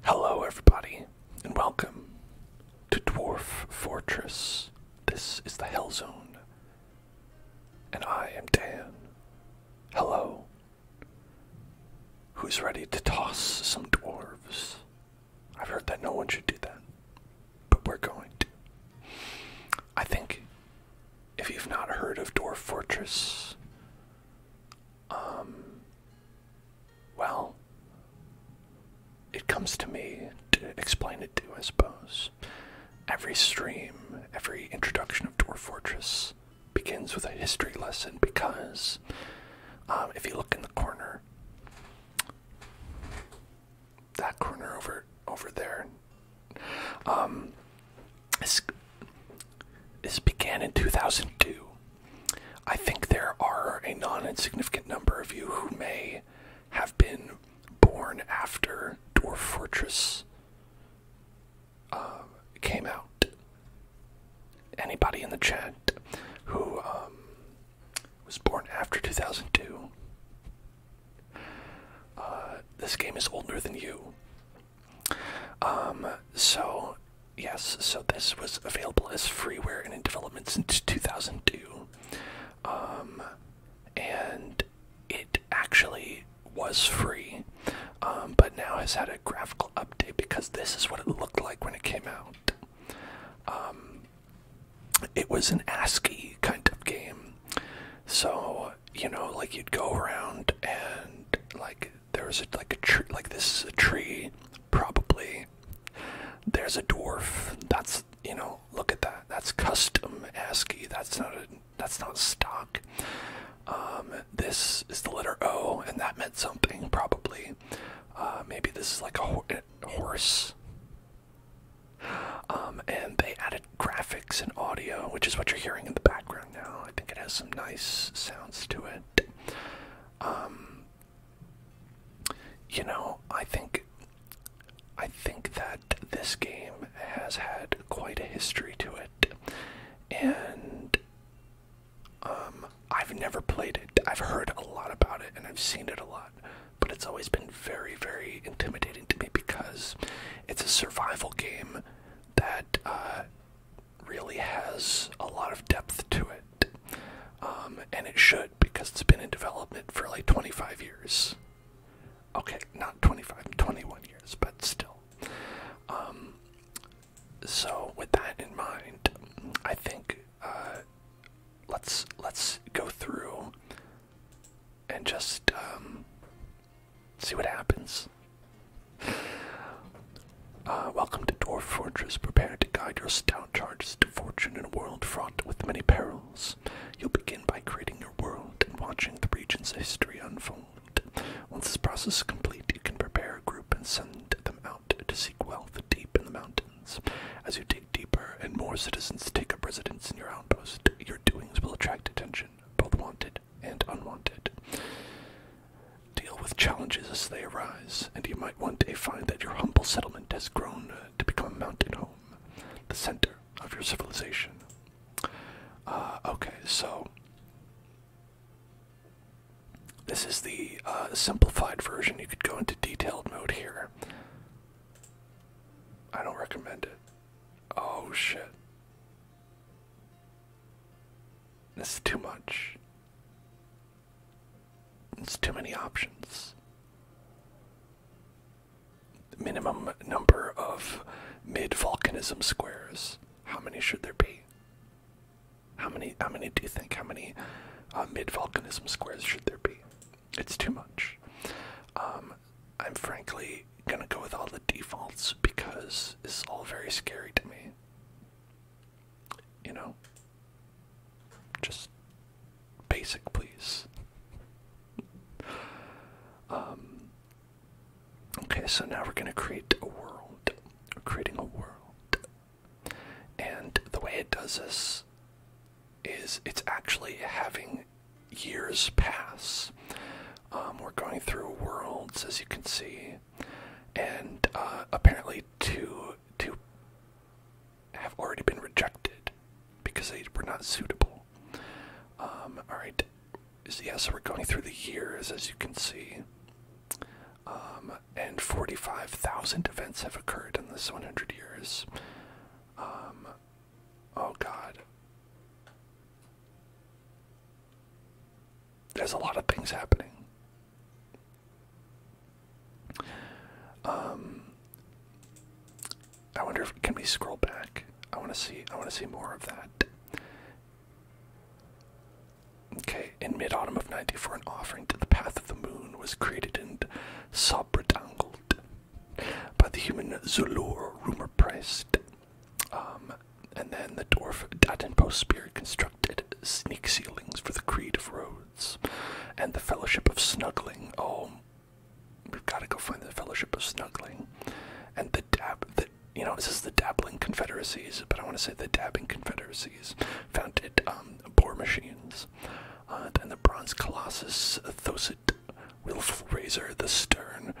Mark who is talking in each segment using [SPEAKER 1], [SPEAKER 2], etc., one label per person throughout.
[SPEAKER 1] Hello, everybody, and welcome to Dwarf Fortress. This is the Hell Zone, and I am Dan. Hello. Who's ready to toss some dwarves? I've heard that no one should do that, but we're going to. I think if you've not heard of Dwarf Fortress, um, well, it comes to me to explain it to, I suppose. Every stream, every introduction of Dwarf Fortress begins with a history lesson because um, if you look in the corner, that corner over over there, um, this, this began in 2002. I think there are a non insignificant number of you who may have been born after Dwarf Fortress um, came out. Anybody in the chat who um, was born after 2002? Uh, this game is older than you. Um, so Yes, so this was available as freeware and in development since 2002. Um, and it actually was free, um, but now has had a graphical update because this is what it looked like when it came out. Um, it was an ASCII kind of game. So, you know, like you'd go around and like there's a, like a tree, like this is a tree, probably. There's a dwarf. That's you know, look at that. That's custom ASCII. That's not a that's not stock. Um, this is the letter O, and that meant something probably. Uh, maybe this is like a, a horse. Um, and they added graphics and audio, which is what you're hearing in the background now. I think it has some nice sounds to it. Um, you know, I think I think that this game has had quite a history to it. And um I've never played it. I've heard a lot about it and I've seen it a lot, but it's always been very, very intimidating to me because it's a survival game that uh, really has a lot of depth to it. Um, and it should because it's been in development for like 25 years. Okay, not 25, 21 years, but still. Um, so with that in mind, I think uh, let's let's go through and just um, see what happens. Uh, welcome to Dwarf Fortress. Prepare to guide your stout charges to fortune in a world fraught with many perils. You'll begin by creating your world and watching the region's history unfold. Once this process is complete, you can prepare a group and send them out to seek wealth deep in the mountains. As you dig deeper and more citizens take up residence in your outpost, your doings will attract attention, both wanted and unwanted deal with challenges as they arise, and you might one day find that your humble settlement has grown uh, to become a mountain home, the center of your civilization. Uh, okay, so this is the uh, simplified version. You could go into detailed mode here. I don't recommend it. Oh shit. This is too much. It's too many options. Minimum number of mid volcanism squares. How many should there be? How many? How many do you think? How many uh, mid volcanism squares should there be? It's too much. Um, I'm frankly gonna go with all the defaults because it's all very scary to me you know, just basic, please. Um, okay, so now we're gonna create a world. creating a world, and the way it does this is it's actually having years pass. Um, we're going through worlds, as you can see, and uh, apparently to to have already been rejected because they were not suitable. Um, all right, so yeah, so we're going through the years as you can see, um, and 45,000 events have occurred in this 100 years. Um, oh God, there's a lot of things happening. Um, I wonder if can we scroll back? I want to see. I want to see more of that. Okay, in mid-autumn of '94, an offering to the path of the moon was created and subredangled by the human Zulur rumor priced. Um, and then the dwarf Datenpost spirit constructed sneak ceilings for the Creed of Rose and the Fellowship of Snuggling. Oh, we've got to go find the Fellowship of Snuggling, and the dab. you know, this is the Dabbling Confederacies, but I want to say the Dabbing Confederacies founded um, bore machines. Uh, the Bronze Colossus, thosid, willful Razor, the Stern,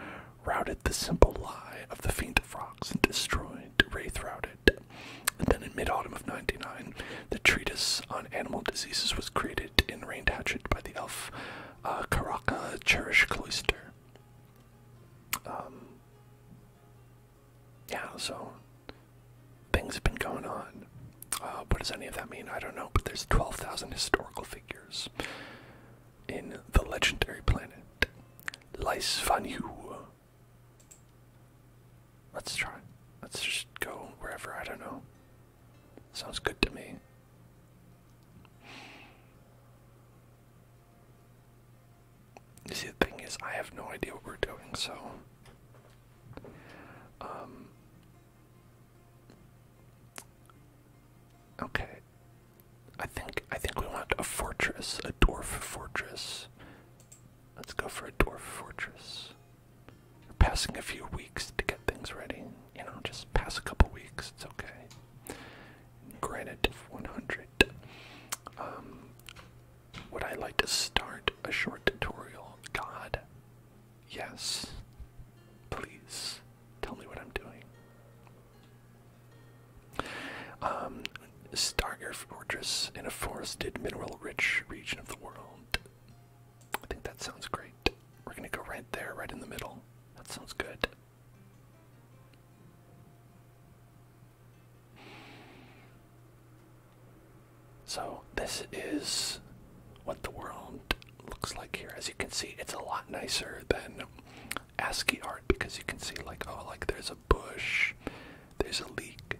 [SPEAKER 1] routed the simple lie of the Fiend of and destroyed Wraith Routing then in mid autumn of 99, the treatise on animal diseases was created in Rain Hatchet by the elf uh, Karaka Cherish Cloister. Um, yeah, so things have been going on. Uh, what does any of that mean? I don't know, but there's 12,000 historical figures in the legendary planet Lys Let's try. Let's just go wherever, I don't know. Sounds good to me. You see, the thing is, I have no idea what we're doing, so. Um. Okay. I think I think we want a fortress, a dwarf fortress. Let's go for a dwarf fortress. You're passing a few weeks to get things ready. You know, just pass a couple weeks. It's okay. Granite of 100. Um, would I like to start a short tutorial? God, yes. Please tell me what I'm doing. Um, start your fortress in a forested, mineral-rich region of the world. I think that sounds great. We're gonna go right there, right in the middle. That sounds good. So, this is what the world looks like here. As you can see, it's a lot nicer than ASCII art because you can see, like, oh, like there's a bush, there's a leak,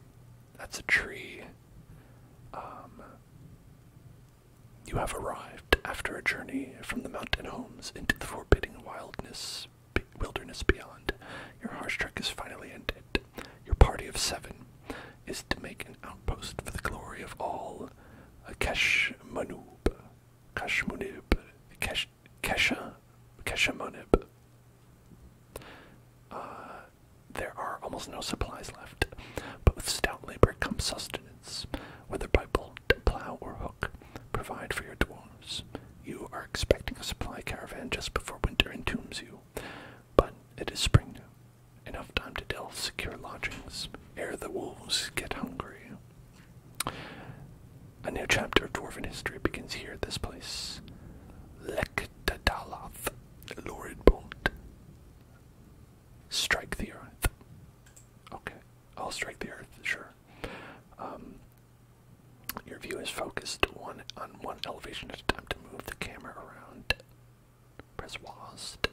[SPEAKER 1] that's a tree. Um, you have arrived after a journey from the mountain homes into the forbidding wilderness beyond. Your harsh trek is finally ended. Your party of seven is to make an outpost for the glory of all. Keshmanub, Keshmanib, Kesha, Keshamanib. Uh, there are almost no supplies left, but with stout labor comes sustenance, whether by bolt, plow, or hook. Provide for your dwarfs. You are expecting a supply caravan just before winter entombs you, but it is spring now. Enough time to delve secure lodgings ere the wolves get hungry. A new chapter of dwarven history begins here at this place. Lekdadaloth Lurid bolt. Strike the earth. Okay, I'll strike the earth, sure. Um, your view is focused one on one elevation at a time to move the camera around. Press WASD.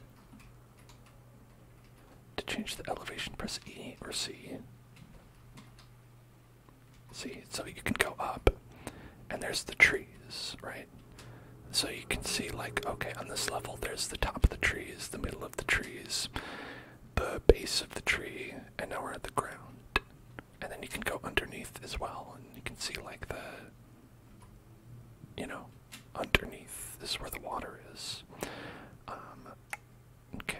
[SPEAKER 1] To change the elevation, press E or C. See, so you can go up and there's the trees, right? So you can see, like, okay, on this level, there's the top of the trees, the middle of the trees, the base of the tree, and now we're at the ground. And then you can go underneath as well, and you can see, like, the, you know, underneath This is where the water is. Um, okay.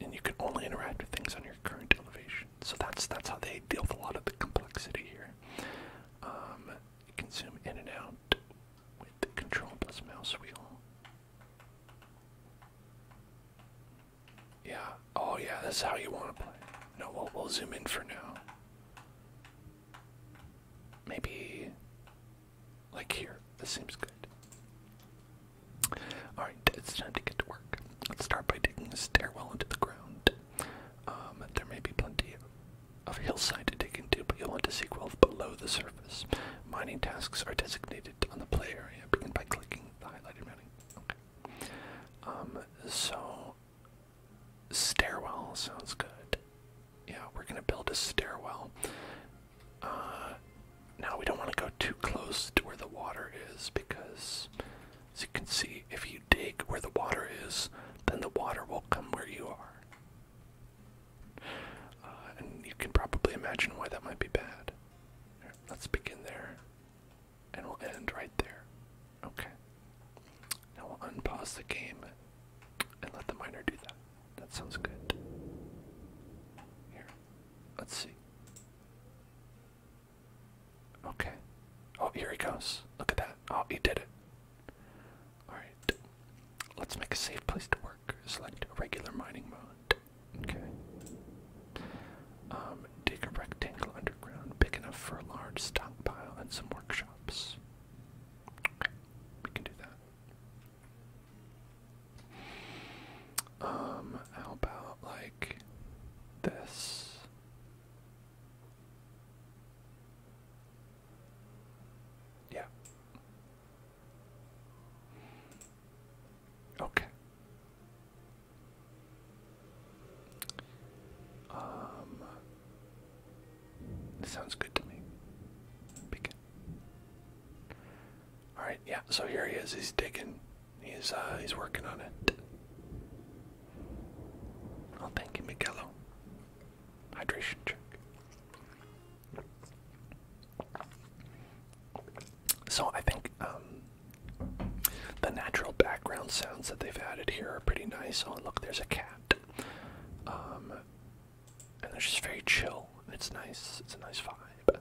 [SPEAKER 1] And you can only interact with things on your current elevation. So that's that's how they deal with a lot of the complexity here. Um, consume in and out with the control plus mouse wheel. Yeah. Oh yeah, that's how you want to play. No, we'll we'll zoom in for now. Maybe like here. This seems good. Alright, it's time to get to work. Let's start by digging a stairwell into the ground. Um, there may be plenty of hillside to dig into, but you'll want to seek wealth below the surface. Mining tasks are designated on the play area. Begin by clicking the highlighted mounting. Okay. Um, so, stairwell sounds good. Yeah, we're gonna build a stairwell. Uh, now we don't want to go too close to where the water is because, as you can see, if you dig where the water is, then the water will come where you are. Uh, and you can probably imagine why that might be bad. let's begin there, and we'll end right there. Okay. Now we'll unpause the game and let the miner do that. That sounds good. Here, let's see. Okay. Oh, here he goes. Look at that. Oh, he did it. Alright. Let's make a safe place to work. Select regular mining mode. Okay. Um, dig a rectangle underground big enough for a large stockpile and some workshops. Okay. We can do that. Um, how about like this? Yeah. Okay. Um, sounds good to me. Begin. All right, yeah. So here he is. He's digging. He's uh, he's working on it. Oh, thank you, Miguelo. Hydration check. So I think um, the natural background sounds that they've added here are pretty nice. Oh, look, there's a cat. Um, and they're just very chill. It's nice. It's a nice vibe.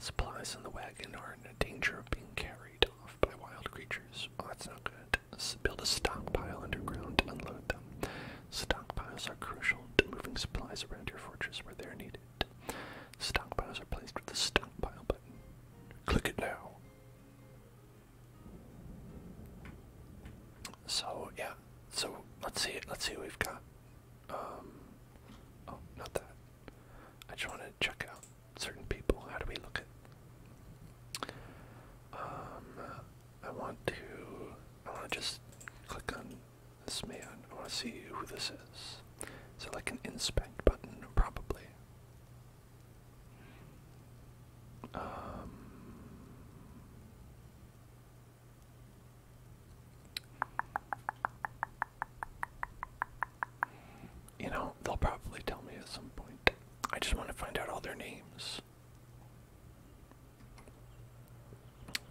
[SPEAKER 1] Supplies in the wagon are in danger of being carried carried off by wild creatures. Oh, that's not good. let build a stockpile underground to unload them. Stockpiles are crucial to moving supplies around your fortress where they're needed. Stockpiles are placed with the stockpile button. Click it now. So yeah, so let's see. Let's see what we've got. Um, oh, not that. I just want to check out certain people. How do we look at? Um, I want to. I want to just click on this man. I want to see who this is. So like an inspect button, probably. Um, you know, they'll probably tell me at some point. I just want to find out all their names.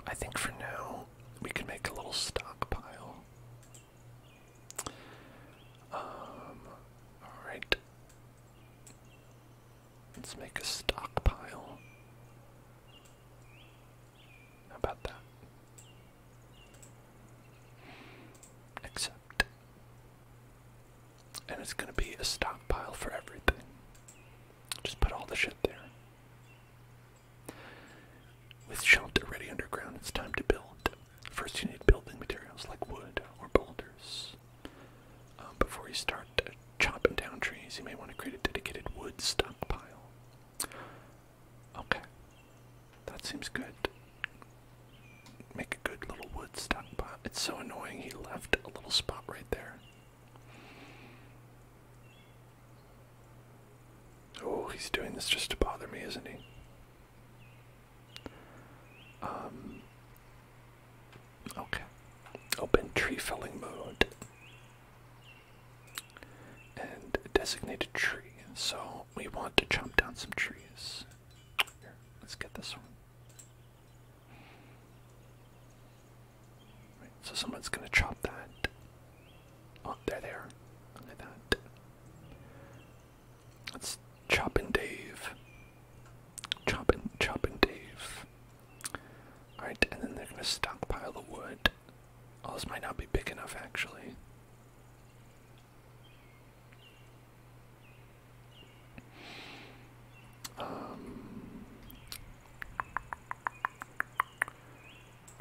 [SPEAKER 1] I think for now we can make a little stockpile. Um, alright. Let's make a stockpile. about that? Accept. And it's gonna be a stockpile for everything. Just put all the shit there. With shelter already underground, it's time to build. First, you need building materials like wood or boulders. Um, before you start uh, chopping down trees, you may want to create a dedicated wood stockpile. Okay. That seems good. Make a good little wood stockpile. It's so annoying he left a little spot right there. Oh, he's doing this just to bother me, isn't he? Um. Okay. Open tree felling mode. And designated tree. So we want to chop down some trees let's get this one. so someone's gonna chop that. Oh, there they are. that. Let's chop and Dave. Chop and chop and Dave. Alright, and then they're gonna stockpile the wood. Oh, this might not be big enough actually. Um,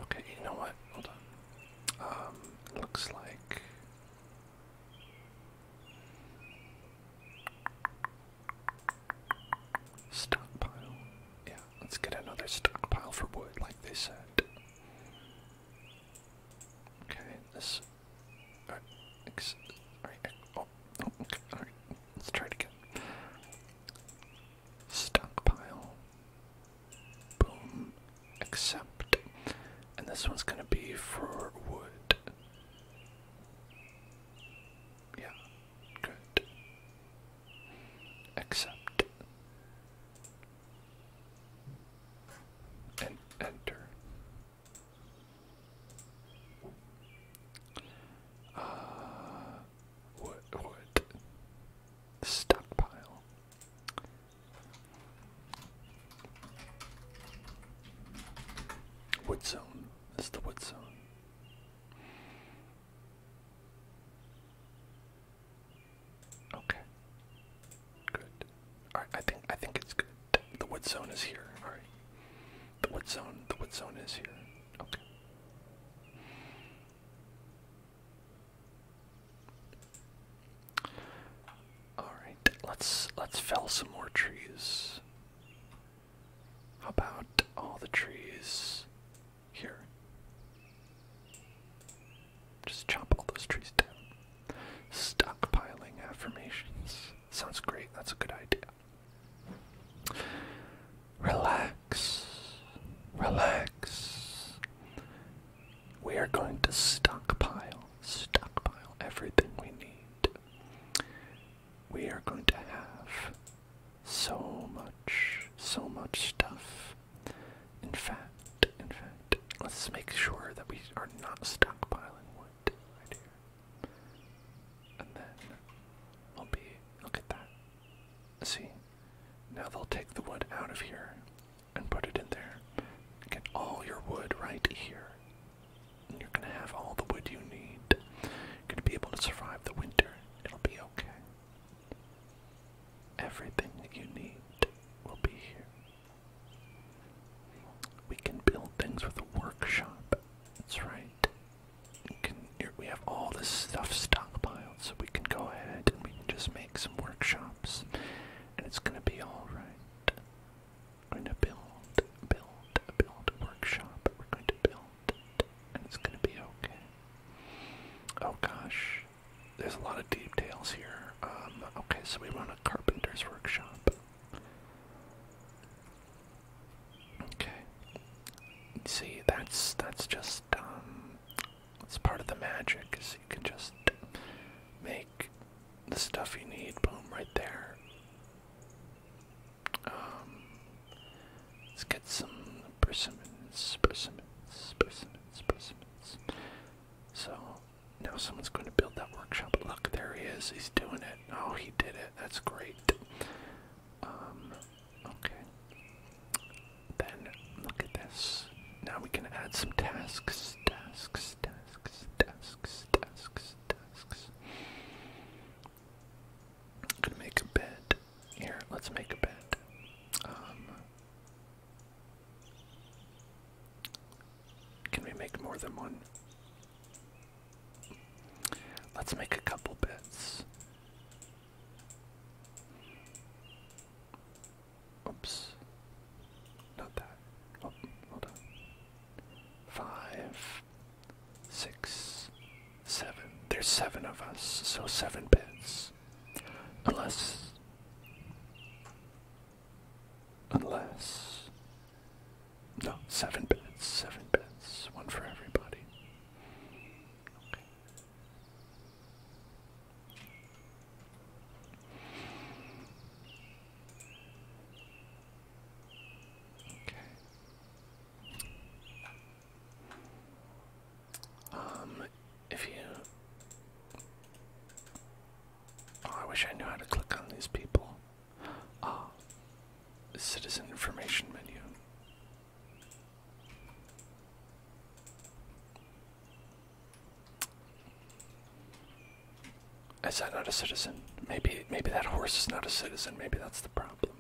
[SPEAKER 1] okay, you know what? Um, looks like. Stockpile. Yeah, let's get another stockpile for wood, like they said. Okay, this. Alright, right, oh, okay, alright, let's try it again. Stockpile. Boom. Accept. And this one's gonna be for wood. Yeah, good. Accept. And enter. Uh, what, what? Stockpile. Wood zone. This is the wood zone. Okay. Good. All right, I think I think it's good. The wood zone is here. All right. The wood zone. The wood zone is here. Okay. All right. Let's let's fell some more trees. How about all the trees here? Just chop all those trees down. Stockpiling affirmations. Sounds great, that's a good idea. Relax. Relax. We are going to stockpile, stockpile everything we need. We are going to have so much, so much stuff. In fact, in fact, let's make sure that we are not stockpiling and then we'll be. Look at that. See? Now they'll take the wood out of here and put it in there. Get all your wood right here. you're gonna have all the wood you need. You're gonna be able to survive the winter. It'll be okay. Everything that you need will be here. We can build things with a workshop. That's right. We can. we have all this stuff stockpiled, so we can go ahead and we can just make some workshops, and it's gonna be all right. We're going to build, build, build a workshop. We're going to build, and it's gonna be okay. Oh gosh, there's a lot of details here. Um, okay, so we run a carpenter's workshop. Okay. See, that's that's just um, it's part of the magic. Is you can just make the stuff you need. Boom, right there. Um, let's get some persimmons, persimmons, persimmons, persimmons. So now someone's going to build that workshop. Look, there he is. He's doing it. Oh, he did it. That's great. Um, okay. Then look at this. Now we can add some tasks, tasks, tasks, tasks, tasks, tasks. i gonna make a bed. Here, let's make a bed. Um, can we make more than one? Let's make a couple bits. Oops. Not that. Oh, hold on. Five, six, seven. There's seven of us, so seven bits. Unless. Unless. No, seven beds, seven beds, one for everybody. Okay. Um, if you. Oh, I wish I knew how to click on these people. Ah, citizen information menu. Is that not a citizen? Maybe maybe that horse is not a citizen. Maybe that's the problem.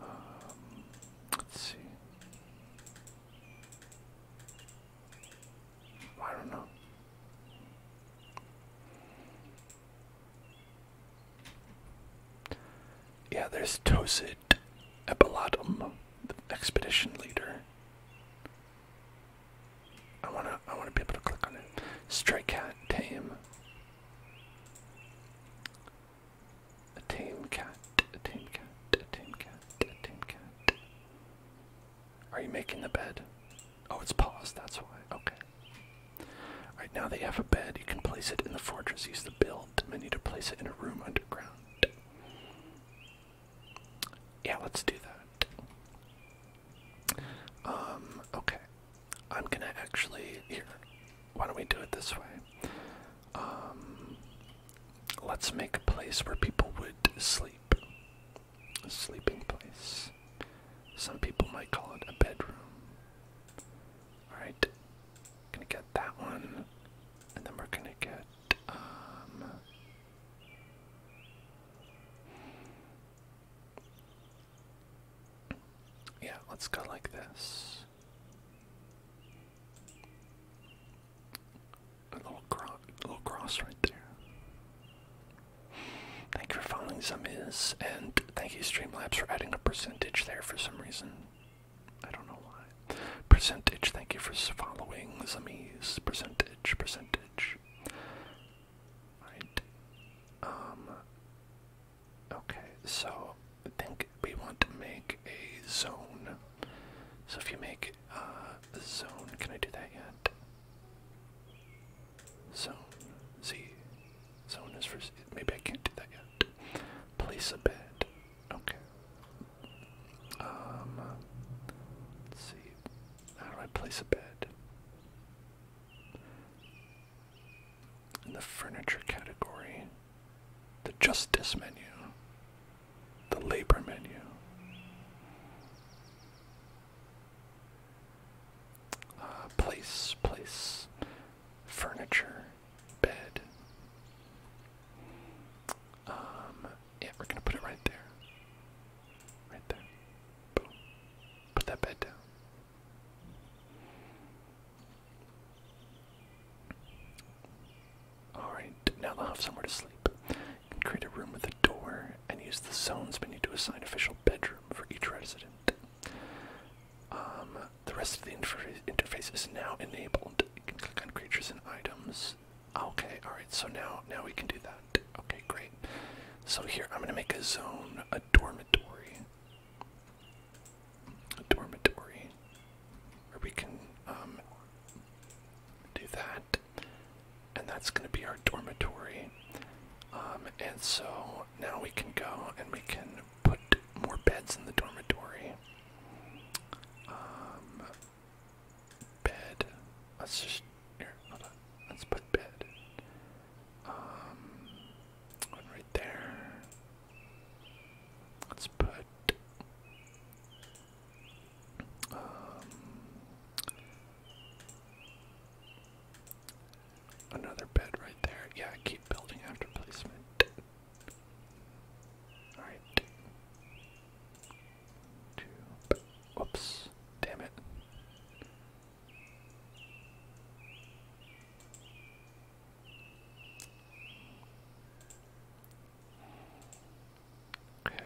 [SPEAKER 1] Um, let's see. I don't know. Yeah, there's Tosid Epalatum, the expedition leader. I wanna I wanna be able to click on it. Stray cat tame. A tame cat, a tame cat, a tame cat, a tame cat. Are you making the bed? Oh, it's paused, that's why. Okay. Alright, now that you have a bed, you can place it in the fortress. Use the build menu to place it in a room underground. Yeah, let's do that. Um, okay. I'm gonna actually Why don't we do it this way? Um, let's make a place where people would sleep. A sleeping place. Some people might call it a bedroom. Alright. Gonna get that one. And then we're gonna get um, yeah, let's go like this. A little, cro little cross right there. Thank you for following some and thank you Streamlabs for adding a percentage there for some reason. I don't know why. Percentage, thank you for following some Percentage, percentage. Right. Um, okay, so I think we want to make a zone. So if you make a uh, zone, can I do that yet? Zone. Z. Zone is for. Maybe I can't do that yet. Place a bed. Okay. Um. see. How do I place a bed? in the furniture category, the justice menu, the labor menu. Uh, place, place, furniture, bed. Um, yeah, we're gonna put it right there. Right there. Boom. Put that bed down. Alright, now they'll have somewhere to sleep. You can create a room with a door and use the zones menu to assign official bedroom for each resident. Um, the rest of the interface is now enabled. You can click on creatures and items. Okay, alright, so now now we can do that. Okay, great. So here I'm gonna make a zone, dormitory. dormitory. Where we can um, do that. And that's going to be our dormitory. Um, and so now we can go and we can put more beds in the dormitory. Um, bed. Let's just. hold on. Let's put bed. Um, one right there. Let's put um, another bed right there. Yeah, keep building after placement. All right. Two. Damn it. Okay.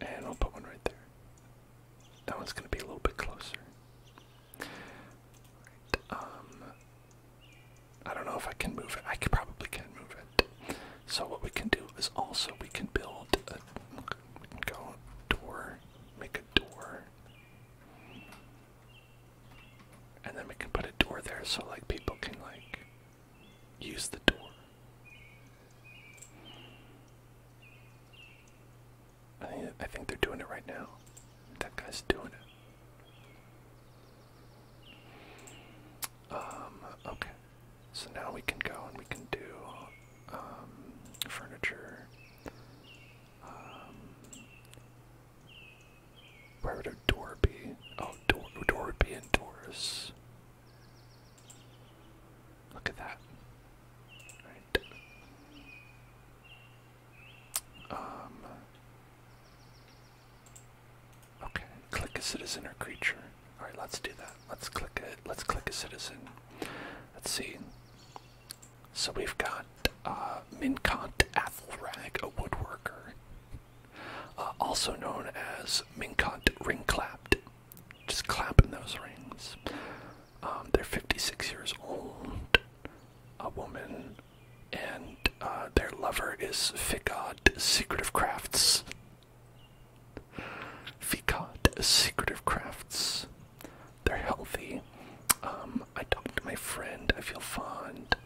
[SPEAKER 1] And I'll put one right there. That one's going to be a little bit closer. um, I don't know if I can move it. I could probably can move it. So what we can do is also we can build a go door, make a door. And then we can put a door there so like people can like use the door. I think I think they're doing it right now. That guy's doing it. Um, okay. So now we can go and we can do um, furniture. Um, where would a door be? Oh, door, door would be indoors. Look at that. Right. Um, Okay, click a citizen or creature. Alright, let's do that. Let's click it. Let's click a citizen. Let's see. So we've got uh, Athelrag, a woodworker, uh, also known as Minkant Ring Just clapping those rings. Um, they're 56 years old, a woman, and uh, their lover is Figod, Secret of Crafts. Fikat secretive crafts. They're healthy. Um, I talked to my friend. I feel fond.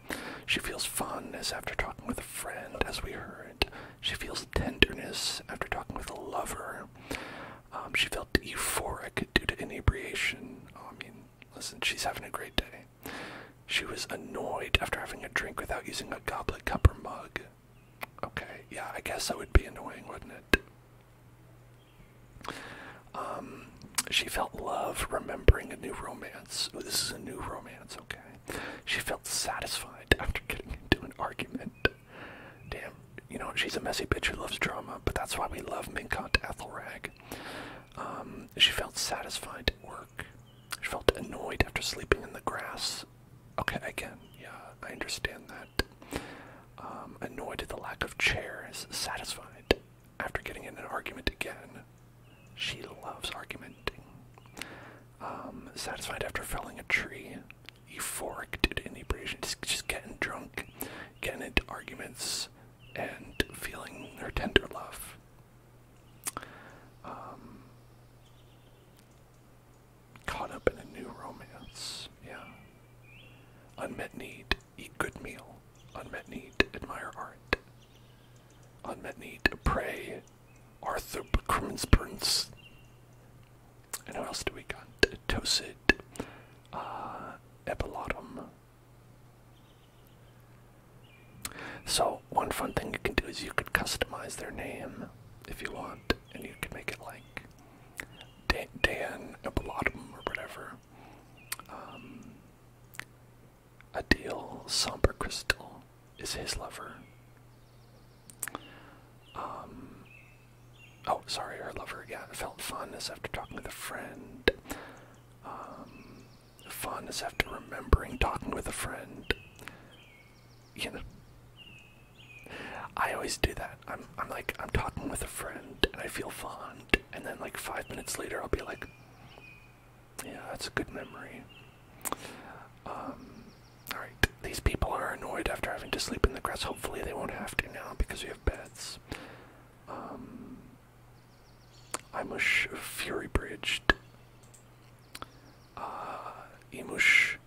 [SPEAKER 1] She feels fondness after talking with a friend, as we heard. She feels tenderness after talking with a lover. Um, she felt euphoric due to inebriation. Oh, I mean, listen, she's having a great day. She was annoyed after having a drink without using a goblet, cup, or mug. Okay, yeah, I guess that would be annoying, wouldn't it? Um, she felt love remembering a new romance. Ooh, this is a new romance, okay. She felt satisfied after getting into an argument. Damn, you know, she's a messy bitch who loves drama, but that's why we love Minkant Ethelrag. Um, she felt satisfied at work. She felt annoyed after sleeping in the grass Okay, I can. Yeah, I understand that. Um, annoyed at the lack of chairs, satisfied after getting in an argument again. She loves arguing. Um, satisfied after felling a tree. Euphoric due to inebriation, just, just getting drunk, getting into arguments, and feeling her tender love. Um, Caught up in a new romance. Yeah. Unmet need. Eat good meal. Unmet need. Admire art. Unmet need. Pray. Arthur Crimmins And who else do we got? Tosid. Uh, Epilotum. So, one fun thing you can do is you could customize their name if you want and you can make it like Dan, Dan or whatever. Um, a deal somber crystal is his lover. Um, oh, sorry, her lover. Yeah, felt fondness after talking with a friend. Um, fondness after remembering talking with a friend. You I always do that. I'm I'm like I'm talking with a friend and I feel fond and then like five minutes later I'll be like Yeah, that's a good memory. Um Alright, these people are annoyed after having to sleep in the grass. Hopefully they won't have to now because we have beds. Um Imush Fury Bridged. Uh Emush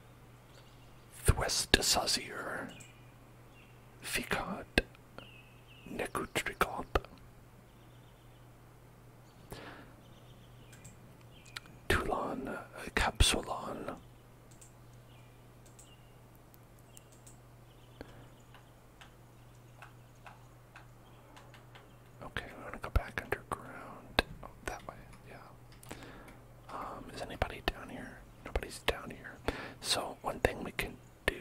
[SPEAKER 1] Thwestesazir, Fikad. Necutricop, Toulon, Capsulon, Okay, I'm gonna go back underground. Oh, that way, yeah. Um, is anybody down here? Nobody's down here. So one thing we can do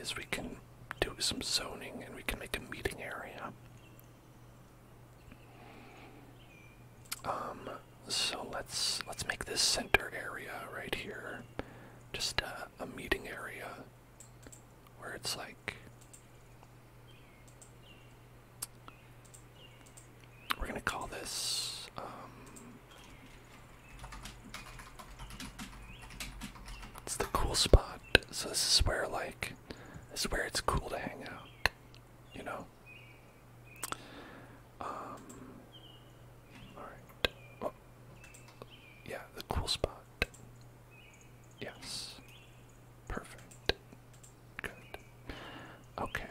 [SPEAKER 1] is we can do some zoning and we can make a meeting area. Um, so let's let's make this center area right here just a, a meeting area where it's like we're going to call this um, It's the cool spot. So this is where like this is where it's cool to hang out, you know. Um, all right. Oh. Yeah, the cool spot. Yes. Perfect. Good. Okay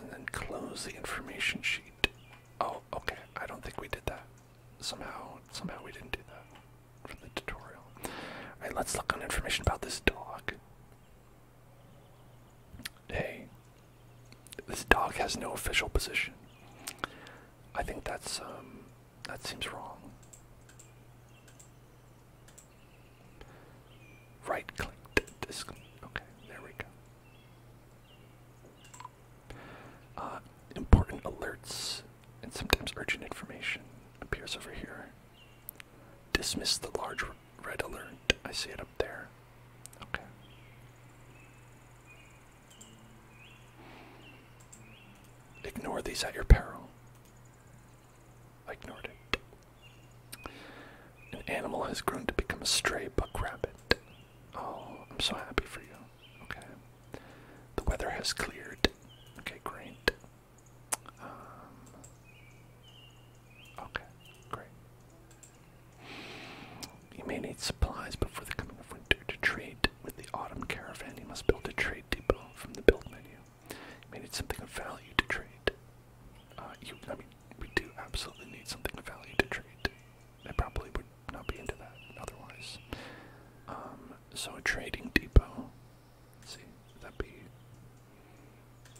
[SPEAKER 1] and then close the information sheet. Oh, okay. I don't think we did that. Somehow, somehow we didn't do that from the tutorial. All right, let's look on information about this dog. Hey, this dog has no official position. I think that's um, that seems wrong. Right click. the Okay, there we go. Uh, important alerts and sometimes urgent information appears over here. Dismiss the large red alert. I see it up there. Okay. Ignore these at your peril ignored it. An animal has grown to become a stray buck rabbit. Oh, I'm so happy for you. Okay. The weather has cleared. Okay, great. Um, okay, great. You may need supplies before the coming of winter to trade with the autumn caravan. You must build a trade depot from the build menu you. We need something of value to trade. Uh, you, I mean, we do absolutely need something of value to trade. I probably would not be into that otherwise. Um, so a trading depot. Let's see, would that be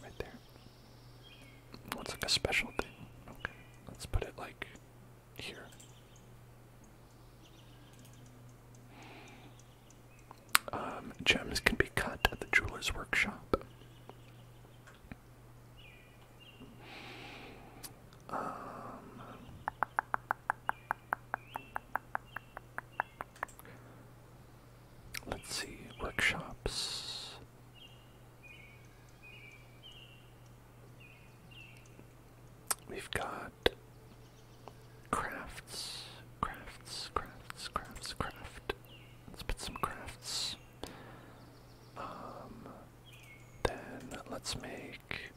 [SPEAKER 1] right there? What's like a special thing? Okay, let's put it like here. Um, gems can be cut at the jeweler's workshop. Um, let's see, workshops. We've got crafts, crafts, crafts, crafts, craft. Let's put some crafts. Um, then let's make.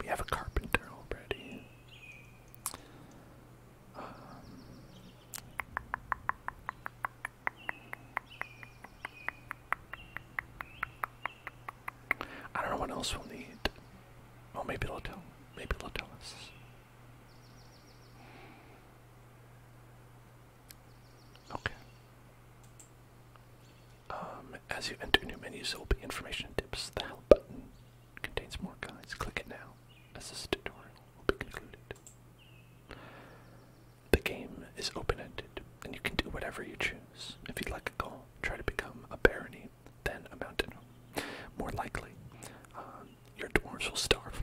[SPEAKER 1] We have a carpenter already. Um, I don't know what else we'll need. Oh, maybe it'll Maybe they'll tell us. Okay. Um, as you enter new menus, there will be information tips. The help button contains more guides. Click it now, as this tutorial will be concluded. The game is open-ended, and you can do whatever you choose. If you'd like a goal, try to become a barony than a mountain. More likely, uh, your dwarves will starve.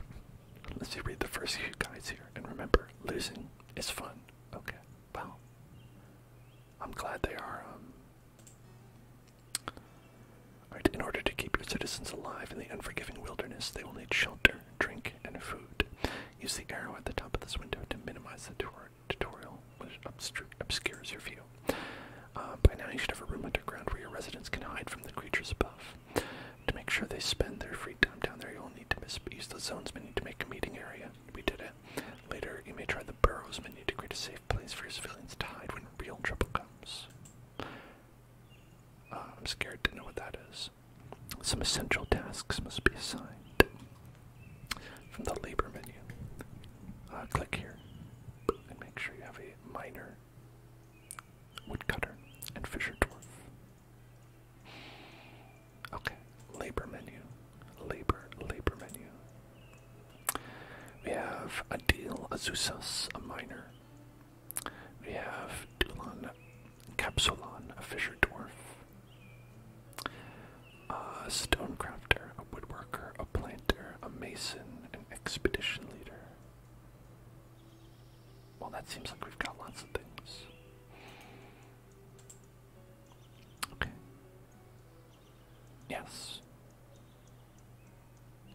[SPEAKER 1] Let's see, read the first few guides here. And remember, losing is fun. Okay, well, I'm glad they are. Um... in order to keep your citizens alive in the unforgiving wilderness, they will need shelter, drink, and food. Use the arrow at the top of this window to minimize the tutorial, which obscures your view. Uh, by now, you should have a room underground where your residents can hide from the creatures above. To make sure they spend their free time down there, you'll need to use the zones menu to make a meeting area. We did it. Later, you may try the burrows menu to create a safe place for your civilians to hide when real trouble comes. Uh, I'm scared to know what that is. Some essential tasks must be assigned. From the labor menu, uh, click here and make sure you have a miner, woodcutter, and fisher dwarf. Okay, labor menu, labor, labor menu. We have Adil Azusas, a miner. We have Dulon Capsulon, a fisher dwarf. A uh, stone crafter, a woodworker, a plan a mason, an expedition leader. Well, that seems like we've got lots of things. Okay. Yes.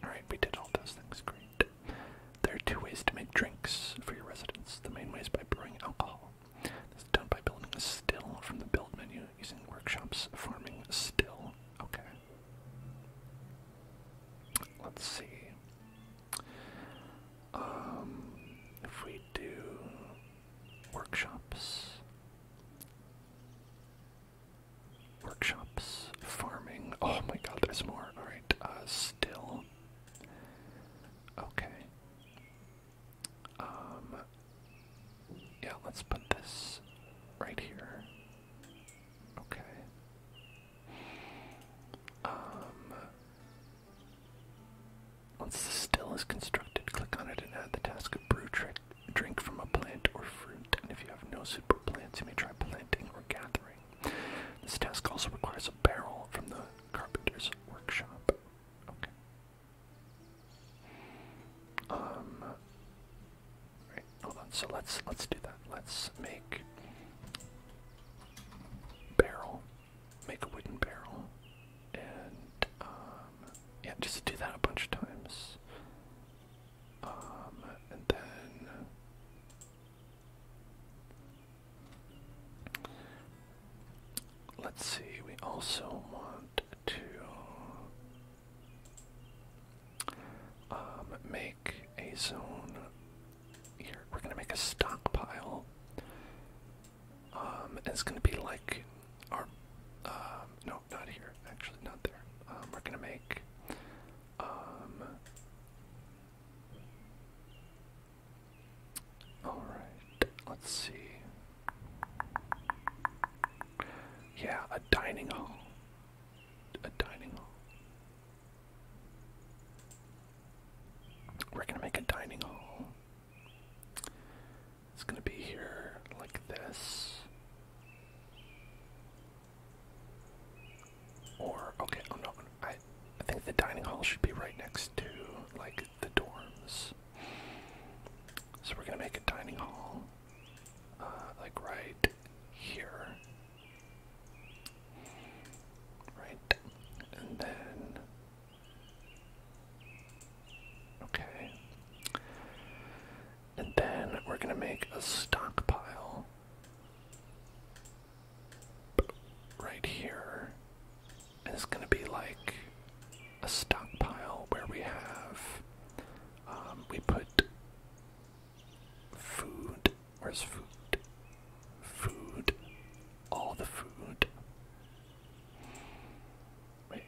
[SPEAKER 1] Alright, we did all those things. Great. There are two ways to make drinks for your residents. The main ways by brewing alcohol. This is done by building a still from the build menu using workshops farming still. Okay. Let's see. Um, if we do workshops, workshops, farming. Oh my god, there's more. Alright, uh, still. Okay. Um, yeah, let's put this right here. Okay. Um, once the still is constructed, click on it and add the task of brew trick drink from a plant or fruit. And if you have no super plants, you may try planting or gathering. This task also requires a barrel from the carpenter's workshop. Okay. Um, Right, hold on. So let's let's do that. Let's make barrel, make a wooden barrel, and um, yeah, just do that a bunch of times. Um, and then. Let's see, we also want to um, make a zone here. We're gonna make a stockpile. Um, it's gonna be like our um, no, not here. Actually, not there. we're gonna make um. All right. Let's see. Yeah, a dining hall a dining hall. We're gonna make a dining hall. It's gonna be here like this. Or okay, oh no, I I think the dining hall should be right next to like the dorms. So we're gonna make a dining hall. Uh, like right here. Right, and then. Okay. And then we're going to make a stockpile right here. And it's going to be like a stockpile where we have, um, we put Food. Where's food? Food. All the food. Wait.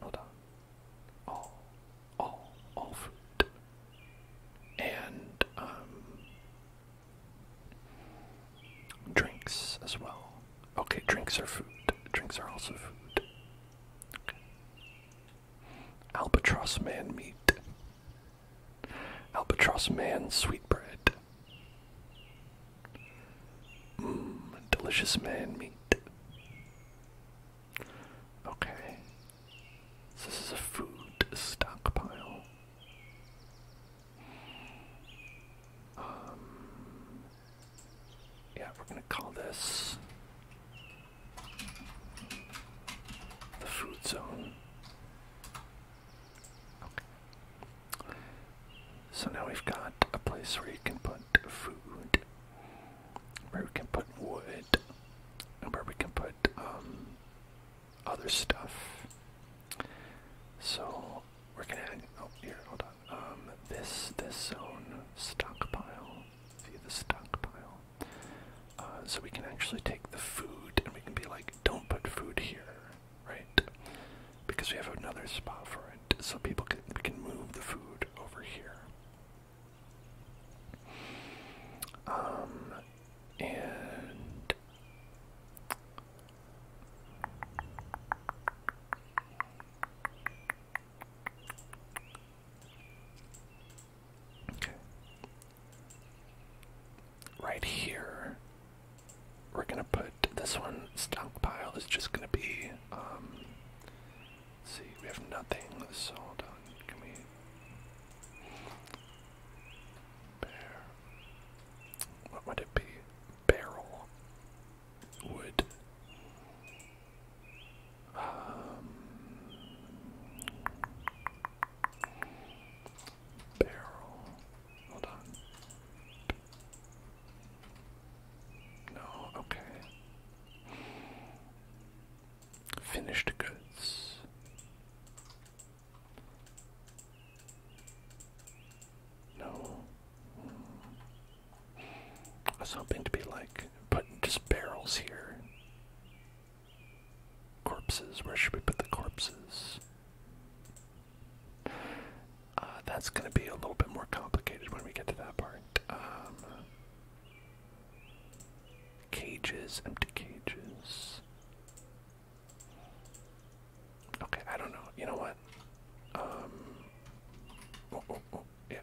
[SPEAKER 1] Hold on. All. All. All food. And, um. Drinks as well. Okay, drinks are food. Drinks are also food. Okay. Albatross Man meat. Albatross Man sweetbread. Mmm, delicious man meat. Okay. this is a food stockpile. Um, yeah, we're gonna call this the fruit zone. So now we've got a place where you can put food, where we can put wood, and where we can put um, other stuff. So we're gonna add, oh here, hold on. Um, this this zone stockpile. View the stockpile. Uh, so we can actually take the food and we can be like, don't put food here, right? Because we have another spot for it, so people can we can move the food over here. Um, and Right here, we're gonna put this one. Stockpile is just gonna be. Um, see, we have nothing. So hold on. come here. What would it be? Barrel. Wood. Um, barrel. Hold on. No, okay. Finished goods. No. I was hoping to be like putting just barrels here. Corpses. Where should we put the corpses? Uh, that's going to be a little bit more complicated when we get to that part. Um, cages, empty cages. Okay, I don't know. You know what? Um, oh, oh, oh, yeah.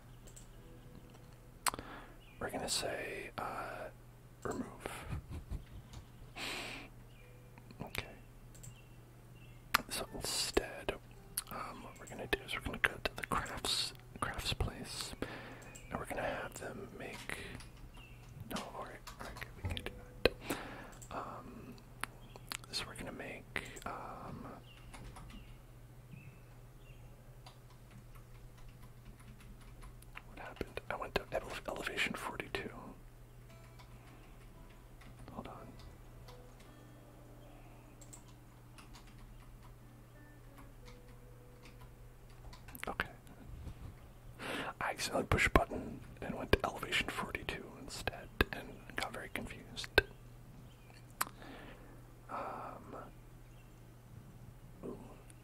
[SPEAKER 1] We're gonna say uh, Remove. Okay. So instead, um, what we're gonna do is we're gonna go to the crafts crafts place, and we're gonna have them make. No, alright, alright, we can do that. Um, so we're gonna make um. What happened? I went to elevation 42. Hold on. Okay. I accidentally pushed a button and went to elevation 42 instead and got very confused. Um,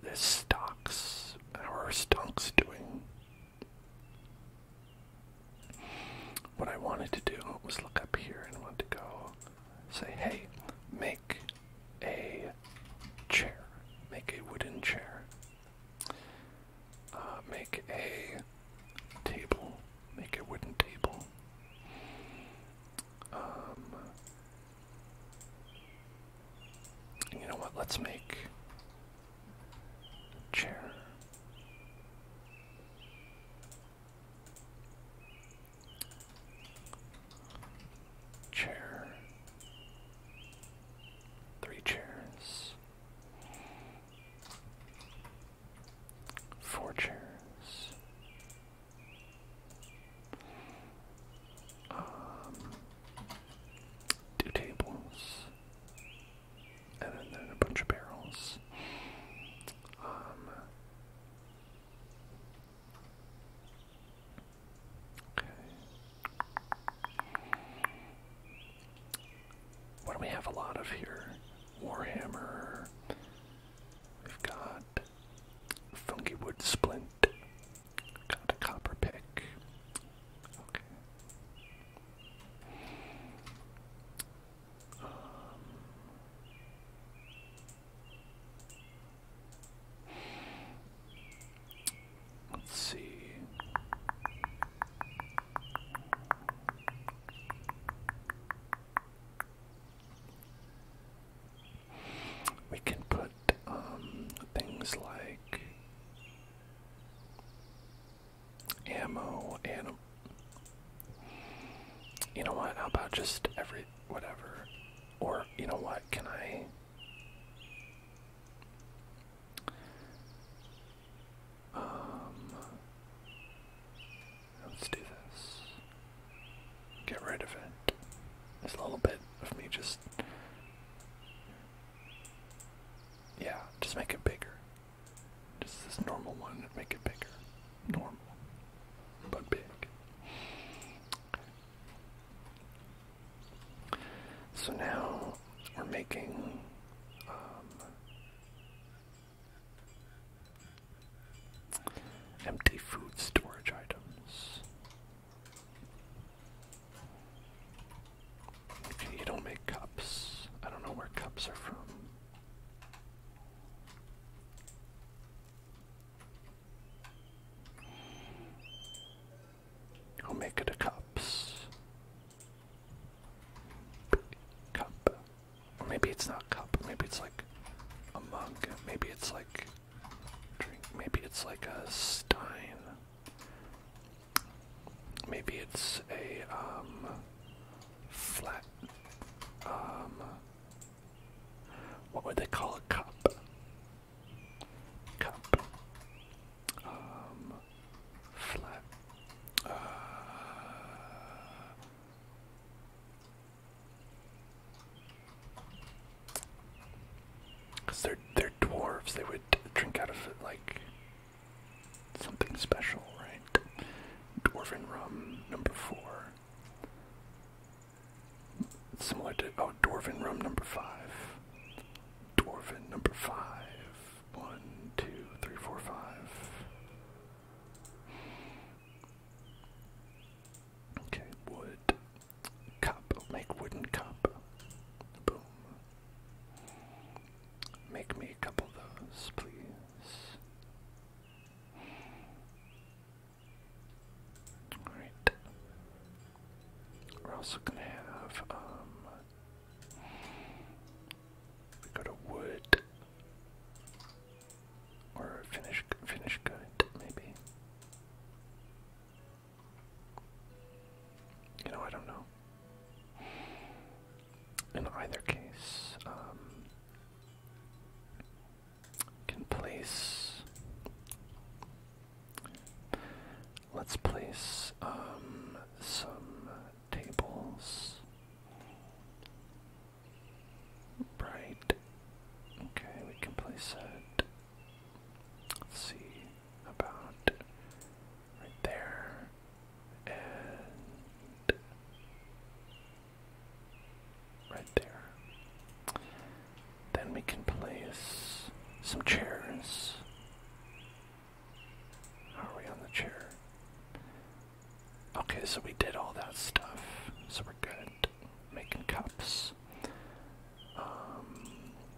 [SPEAKER 1] this stocks, our stocks doing. What I wanted to do was look up here and want to go say, hey, make a chair, make a wooden chair, uh, make a table, make a wooden table, um, you know what? Let's make a chair. Chair. Three chairs. Four chairs. Um, two tables, and then a bunch of barrels. Um, okay. What do we have a lot of here? Warhammer. We've got funky wood splint. Got a copper pick. Okay. Um, let's see. We can put um, things like ammo and you know what? How about just every whatever? Or you know what? Can I? Um, let's do this. Get rid of it. It's a little bit of me just yeah, just make it bigger. Just this normal one and make it bigger. Normal. But big. So now we're making um, empty food storage items you don't make cups. I don't know where cups are from. I'll make it a cups. Cup. Or maybe it's not cup. Maybe it's like a mug. Maybe it's like drink. Maybe it's like a stein. Maybe it's a um, flat. Um, what would they call a cup? Cup. Um, flat. Uh, Cause they're they're dwarves. They would drink out of it like something special, right? Dwarven rum number four. Similar to oh, dwarven rum number five. Dwarven number five. One, two, three, four, five. Okay, wood cup, make wooden cup. Boom. Make me a couple of those, please. Alright. We're also gonna have, um, we go to wood, or finish, finish good, maybe. You know, I don't know. In either case, um, can place. Let's place um, some tables. Right. Okay, we can place it Let's see about right there and right there. Then we can place some chairs. are we on the chair? Okay, so we did all that stuff, so we're good. Making cups. Um,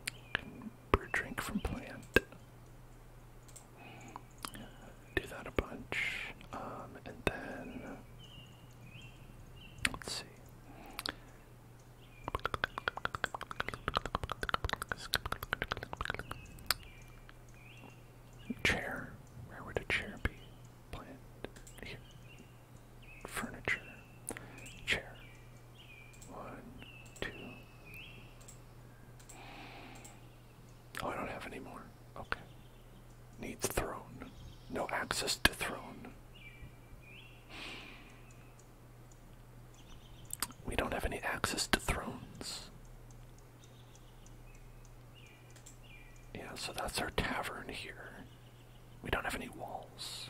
[SPEAKER 1] brew drink from plant. Do that a bunch. Um, and then, let's see. Chair. Where would a chair be? Plant. Here. Furniture chair. One, two. Oh, I don't have any more. Okay. Needs throne. No access to throne. We don't have any access to thrones. Yeah, so that's our tavern here. We don't have any walls.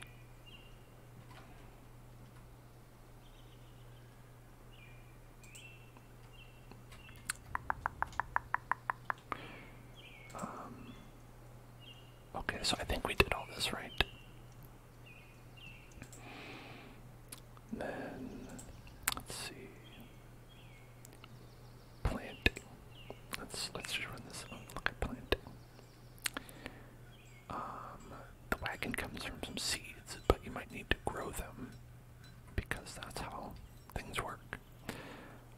[SPEAKER 1] Um, okay, so I think we did all this right. then, let's see. Planting. Let's let's just run this. Up. Oh, look at planting. Um, the wagon comes from some seeds, but you might need to grow them because that's how things work.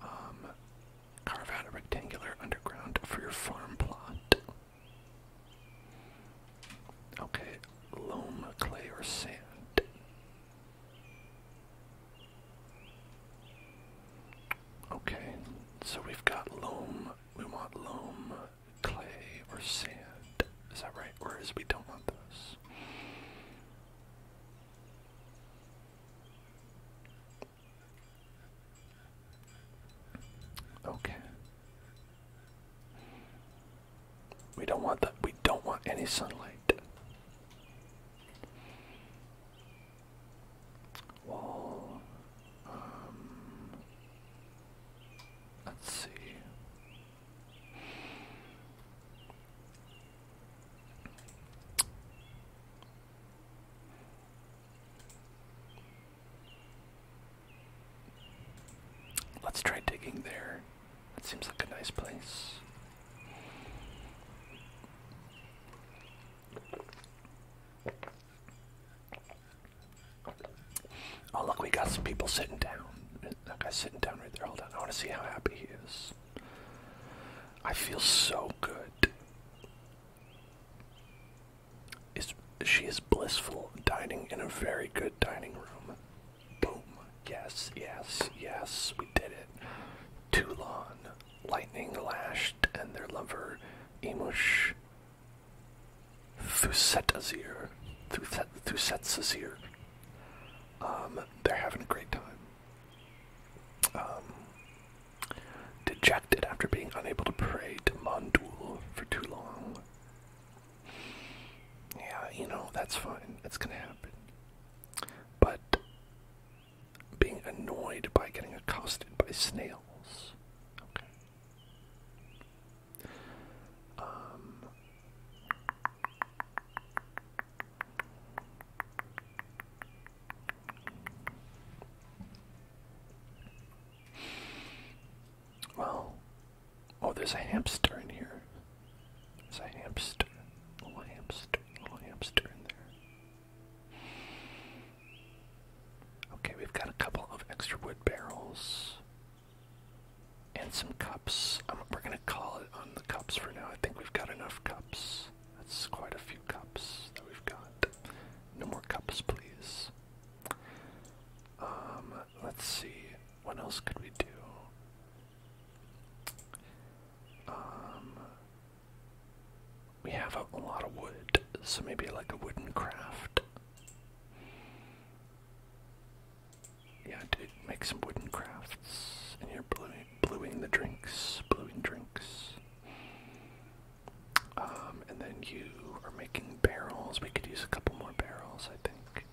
[SPEAKER 1] Um, carve out a rectangular underground for your farm plot. Okay, loam, clay, or sand. Okay, so we've got loam. We want loam clay or sand. Is that right? Whereas we don't want those? Okay. We don't want that. We don't want any sunlight. Wall. Um, Let's see. Let's try digging there. That seems like a nice place. Oh look, we got some people sitting down. That guy sitting down right there. Hold on, I want to see how happy he is. I feel so good. Is she is blissful dining in a very good dining room? Boom! Yes, yes, yes. We did it. Toulon, lightning lashed, and their lover, Emush, Thusetazir. Thusetazir. Um, they're having a great time. Um, dejected after being unable to pray to Mondul for too long. Yeah, you know, that's fine. That's gonna happen. But being annoyed by getting accosted by snails. Okay. Um, well, oh, there's a hamster in here. There's a hamster, little hamster, little hamster in there. Okay, we've got a couple of extra wood barrels and some cups. Um, we're gonna call it on the cups for now. I think we've got enough cups. That's quite a few cups that we've got. No more cups, please. Um, let's see. What else could we do? Um, we have a lot of wood, so maybe like a wooden craft. Yeah, I make some wooden crafts, and you're bluing, the drinks, bluing drinks. Um, and then you are making barrels. We could use a couple more barrels, I think.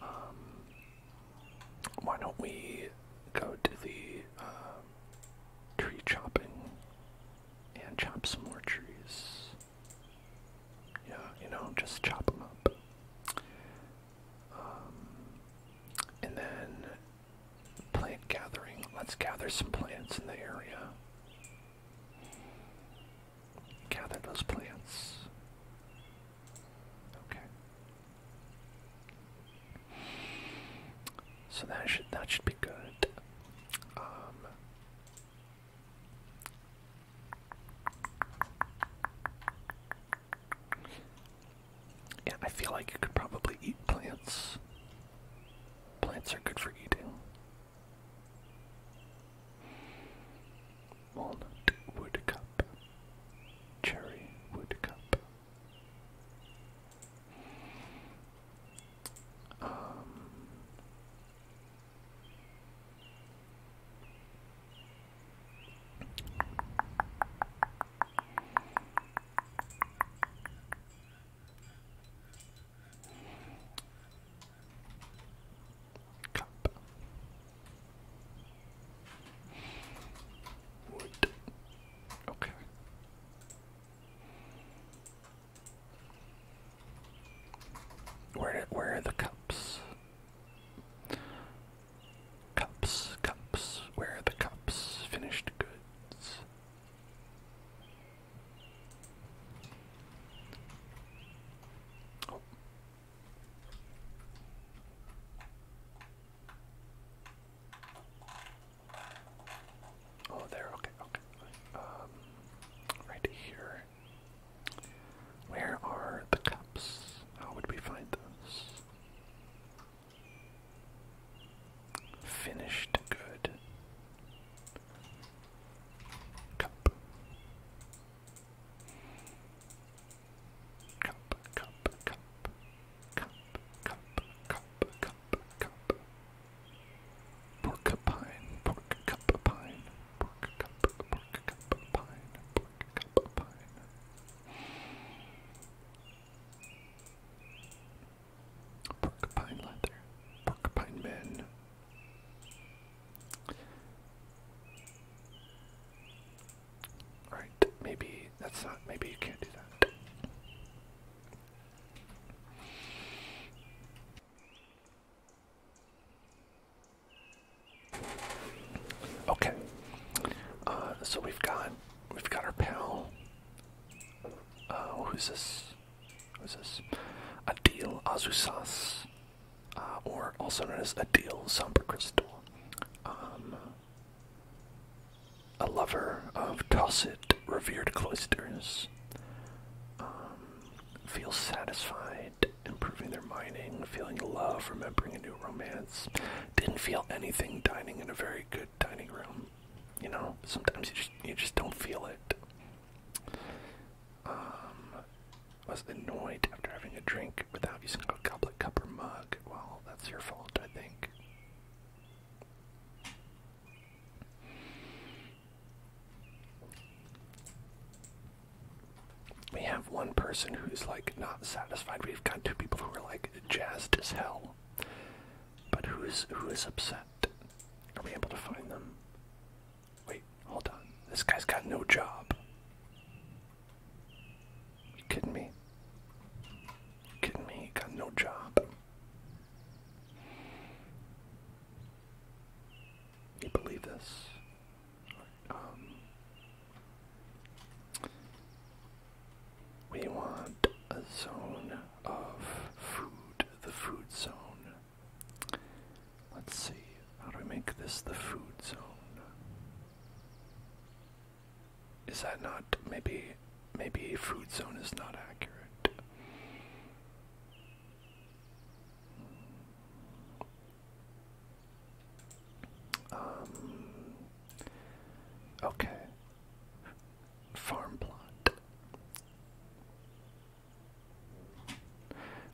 [SPEAKER 1] Um, why don't we go to the um, tree chopping and chop some more trees? Yeah, you know, just chop them up. Um, and then plant gathering. Let's gather some plants in the area. Gather those plants. Okay. So that should that should be good. Um, yeah, I feel like you could probably eat plants. Plants are good for eating. Walnut wood cherry wood um, Cup. Wood. Okay. Where where are the cups? Cups, cups. Where are the cups? Finished goods. Oh. oh there. Okay, okay. Um, right here. Where are the cups? How would we find those? Finished good. Cup, cup, cup. Cup, cup, cup, cup, cup. Pork pine, pork cup pine, pork cup, pork cup pine, pork cup pine. Pork pine leather, pork pine men. Alright, maybe that's not, maybe you can't do that. Okay. Uh, so we've got we've got our pal. Uh, who's this? Who's this? Adil Azusas, uh, or also known as Adil Somber Crystal, um, a lover of Tosset revered cloisters. Um, feels satisfied improving their mining, feeling love, remembering a new romance. Didn't feel anything dining in a very good dining room. You know, sometimes you just you just don't feel it. Um, was annoyed after having a drink without using a goblet, cup, or mug. Well, that's your fault, I think. We have one person who's like not satisfied. We've got two people who are like jazzed as hell. But who is who is upset? Are we able to find them? Wait, hold on. This guy's got no job. you kidding me? You kidding me? He got no job you believe this. Um, we want a zone of food, the food zone. Let's see, how do we make this the food zone? Is that not, maybe, maybe food zone is not accurate. Um, okay. Farm plot.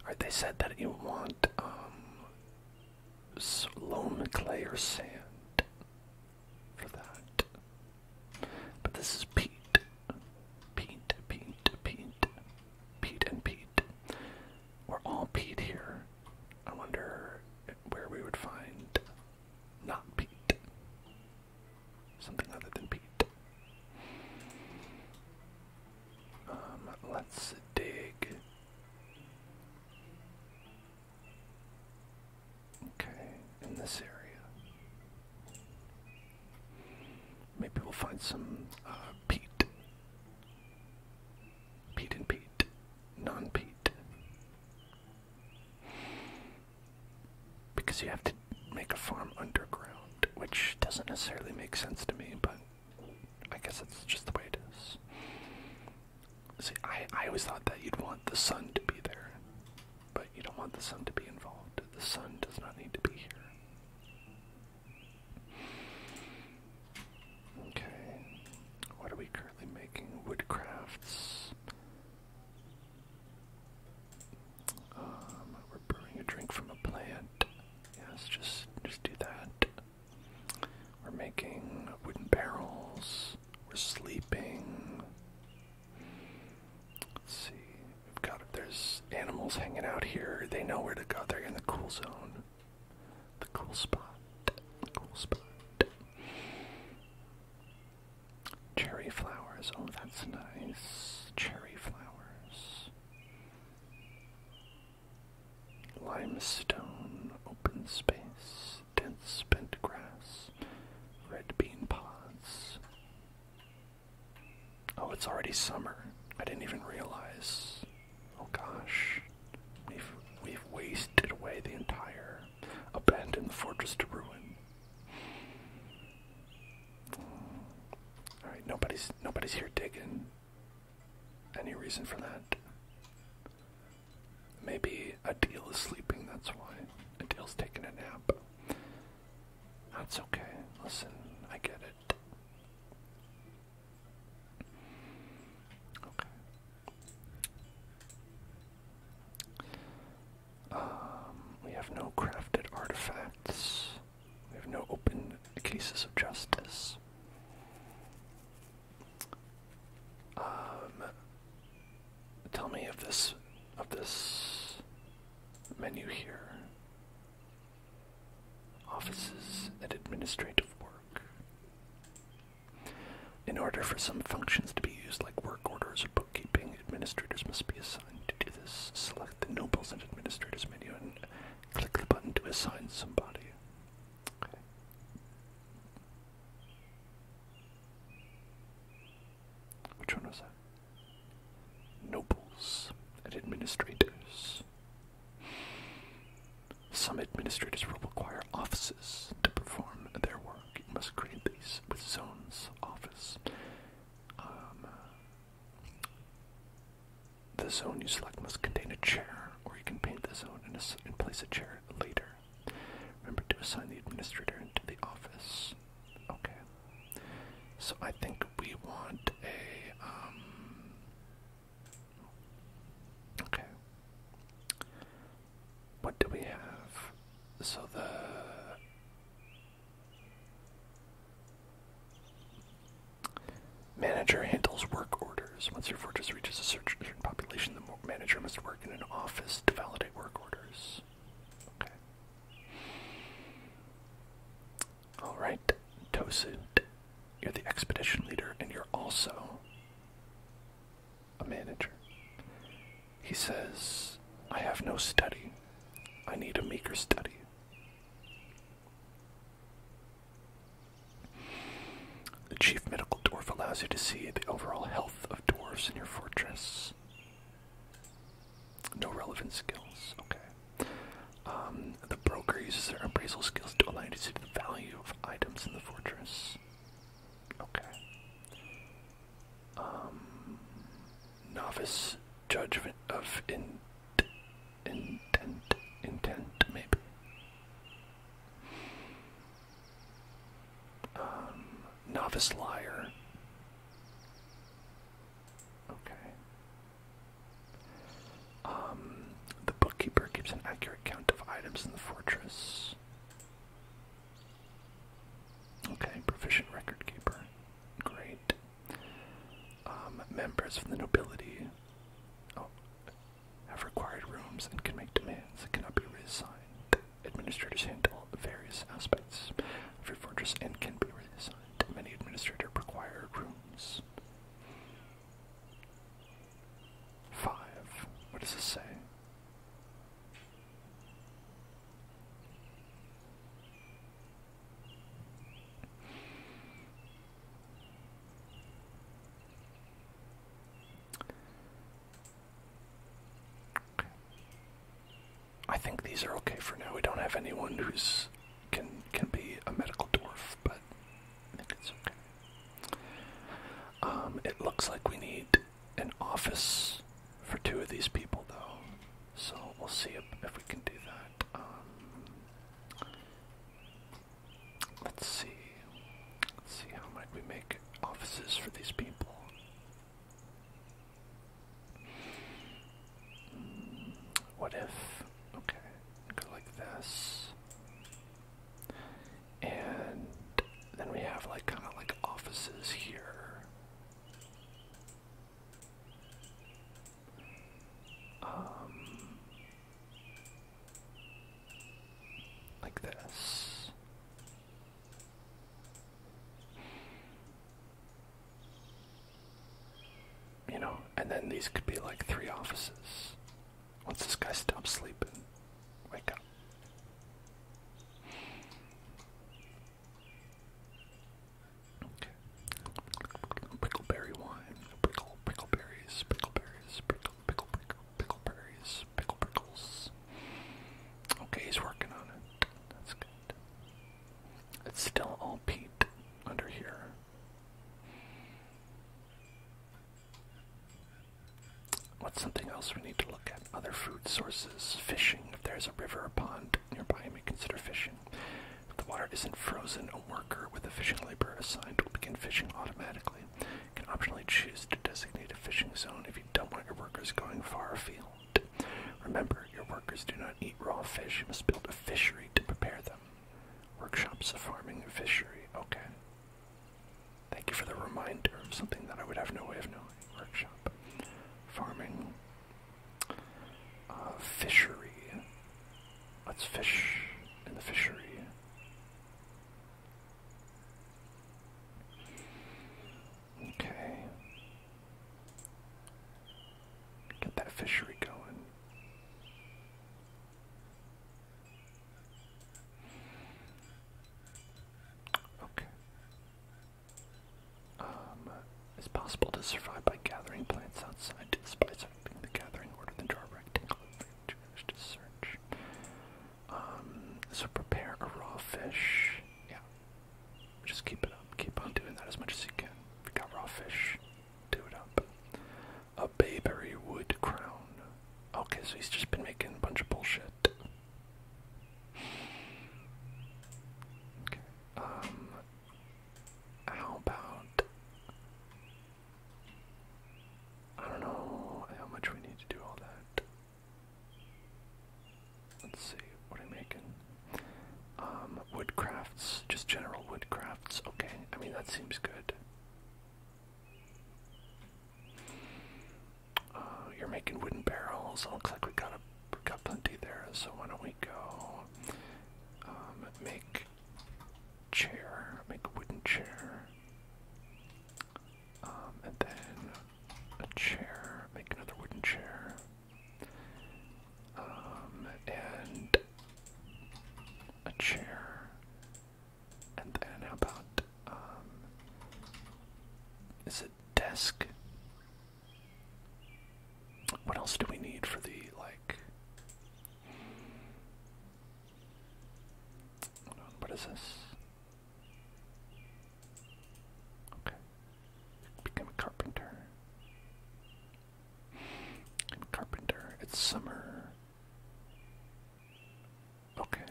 [SPEAKER 1] Alright, they said that you want um, loam, clay, or sand for that. But this is peat. Peat, peat, peat. Pete and Pete. We're all Pete here. I wonder where we would find not Pete. Something other than Pete. Um, let's dig. Okay, in this area. Maybe we'll find some uh, peat. Peat and peat. Non peat. Because you have to make a farm underground, which doesn't necessarily make sense to me, but I guess that's just the way it is. See, I, I always thought that you'd want the sun to be there, but you don't want the sun to be involved. The sun does not need to be here. Okay. What are we currently making? Woodcrafts. Um, we're brewing a drink from a plant. Yes, just just do that. We're making wooden barrels. We're sleeping. Let's see there's animals hanging out here, they know where to go. They're in the cool zone. The cool spot. The cool spot. Cherry flowers. Oh, that's nice. Cherry flowers. Limestone, open space, dense bent grass, red bean pods. Oh, it's already summer. I didn't even realize. Oh gosh. We've, we've wasted away the entire abandoned fortress to ruin. Alright, nobody's nobody's here digging. Any reason for that? Maybe Adil is sleeping, that's why. Adil's taking a nap. That's okay. Listen, I get it. Okay. Um, we have no crafted artifacts. We have no open cases of justice. Um, tell me of this of this menu here offices, and administrative work. In order for some functions to be used, like work orders or bookkeeping, administrators must be assigned to do this. Select the Nobles and Administrators menu and click the button to assign somebody. Which one was that? Nobles and administrators. Some administrators will require offices to perform their work. You must create these with zones office. Um, uh, the zone you select must contain a chair, or you can paint the zone and, place a chair later. Remember to assign the administrator into the office. Okay. So I think we want a um, Okay. What do we have? So the manager handles work orders. Once your fortress reaches a certain population, the manager must work in an office to validate work orders. Okay. Alright, Tosin, you're the expedition leader and you're also a manager. He says, I have no study. I need a maker study. The chief medical dwarf allows you to see the overall health of dwarves in your fortress. No relevant skills, okay. Um, the broker uses their appraisal skills to align to see the value of items in the fortress. Okay. Um, novice judgment of int, intent, intent, maybe. Um, novice liar. Okay. Um, the bookkeeper keeps an accurate count of items in the fortress. Okay, proficient record keeper. Great. Um, members of the nobility oh, have required rooms and can make demands that cannot be reassigned. Administrators handle various aspects of your fortress and can be reassigned. Many administrators require rooms. Five. What does it say? I think these are okay for now. We don't have anyone who's can can be a medical dwarf, but I think it's okay. Um, it looks like we need an office for two of these people, though, so we'll see if, we can do that. Um, let's see. Let's see how might we make offices for these people. Hmm, what if? Okay go like this. And then we have like kind of like offices here. Um, like this you know, and then these could be like three offices. Once this guy stops sleeping, wake up. Okay. Prickleberry wine. Prickle, prickleberries, prickleberries, prickle, pickle, pickle, pickleberries, pickle prickles. Okay, he's working on it. That's good. It's still all peat under here. What's something else we need to look at? Other food sources. Fishing. If there's a river or pond nearby, you may consider fishing. If the water isn't frozen, a worker with a fishing labor assigned will begin fishing automatically. You can optionally choose to designate a fishing zone if you don't want your workers going far afield. Remember, your workers do not eat raw fish. You must build a fishery to prepare them. Workshops of farming and fishery. Okay. Thank you for the reminder of something that I would have no way of knowing. Workshop. Farming. Uh, fishery. Let's fish in the fishery. Okay. Get that fishery going. Okay. Um, it's possible to survive by gathering plants outside to the spice of the gathering order the draw rectangle to search. Um, so prepare a raw fish. Yeah. Just keep it up. Keep on doing that as much as you can. If you got raw fish, do it up. A Bayberry Wood crown. Okay, so he's just been making a bunch of bullshit. Okay. Um how about I don't know how much we need to do all that. Let's see, what am I making? Um, woodcrafts, just general woodcrafts. Okay, I mean that seems good. Uh, you're making wooden barrels. It looks like we got a we of plenty there. So why don't we go um, make chair, make a wooden chair, um, and then a chair, make another wooden chair, um, and a chair. And then about um, is it desk? What else do we need for the like what is this? Okay. Become a carpenter. carpenter. It's summer. Okay,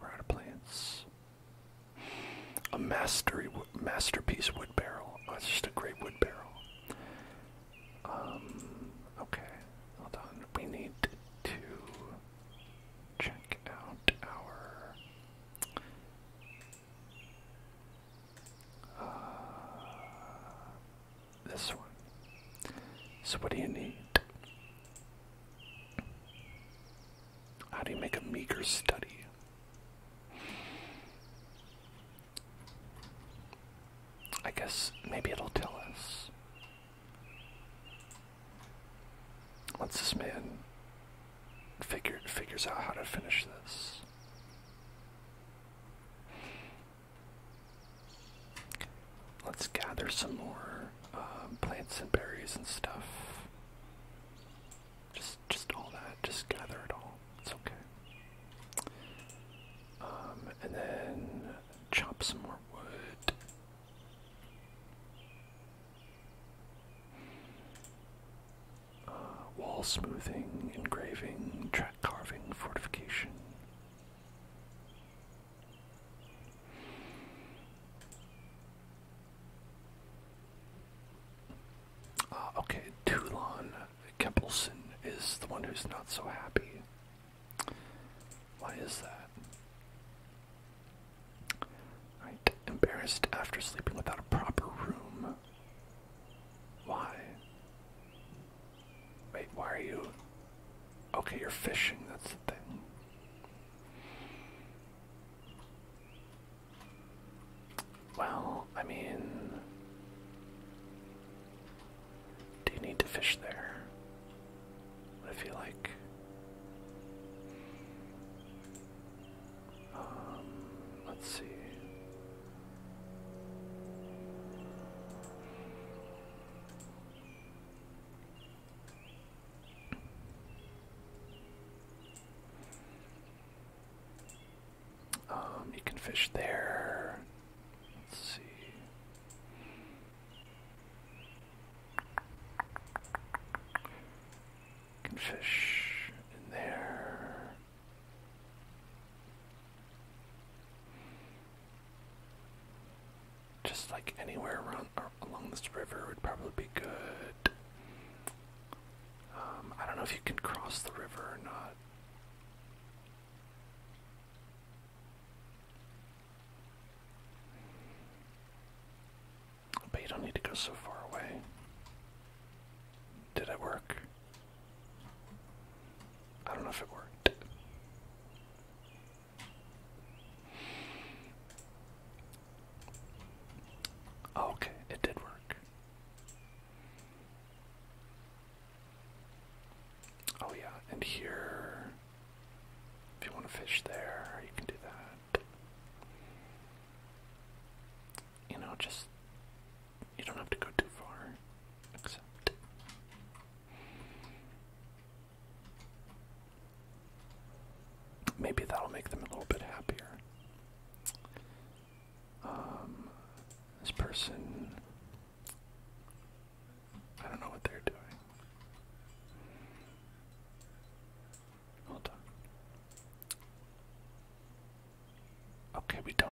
[SPEAKER 1] we're out of plants. A mastery, masterpiece wood barrel. Oh, just a great wood barrel. Um, okay, hold on. We need to check out our. Uh, this one. So, what do you need? How do you make a meager study? I guess maybe it'll tell us. Once this man figured figures out how to finish this. Let's gather some more um, plants and berries and stuff. Just, just all that. Just gather it all. It's okay. Um, and then chop some more wood. Uh, wall smoothing, engraving, track carving, fortification. Ah, okay, Toulon Kempelson is the one who's not so happy. Why is that? embarrassed after sleeping without a proper room. Why? Wait, why are you? Okay, you're fishing. That's the thing. Well, I mean, do you need to fish there? What if you like? Um, let's see. Um, you can fish there. Let's see. You can fish in there. Just like anywhere around along this river would probably be good. Um, I don't know if you can cross the river or not. But you don't need to go so far away. Did it work? I don't know if it worked okay, it did work. Oh, yeah, and here, if you want to fish there, you can do that. You know, just, you don't have to go too far, except. Maybe that'll make them a little bit happier. Um, this person, I don't know what they're doing. Hold on. Okay, we don't.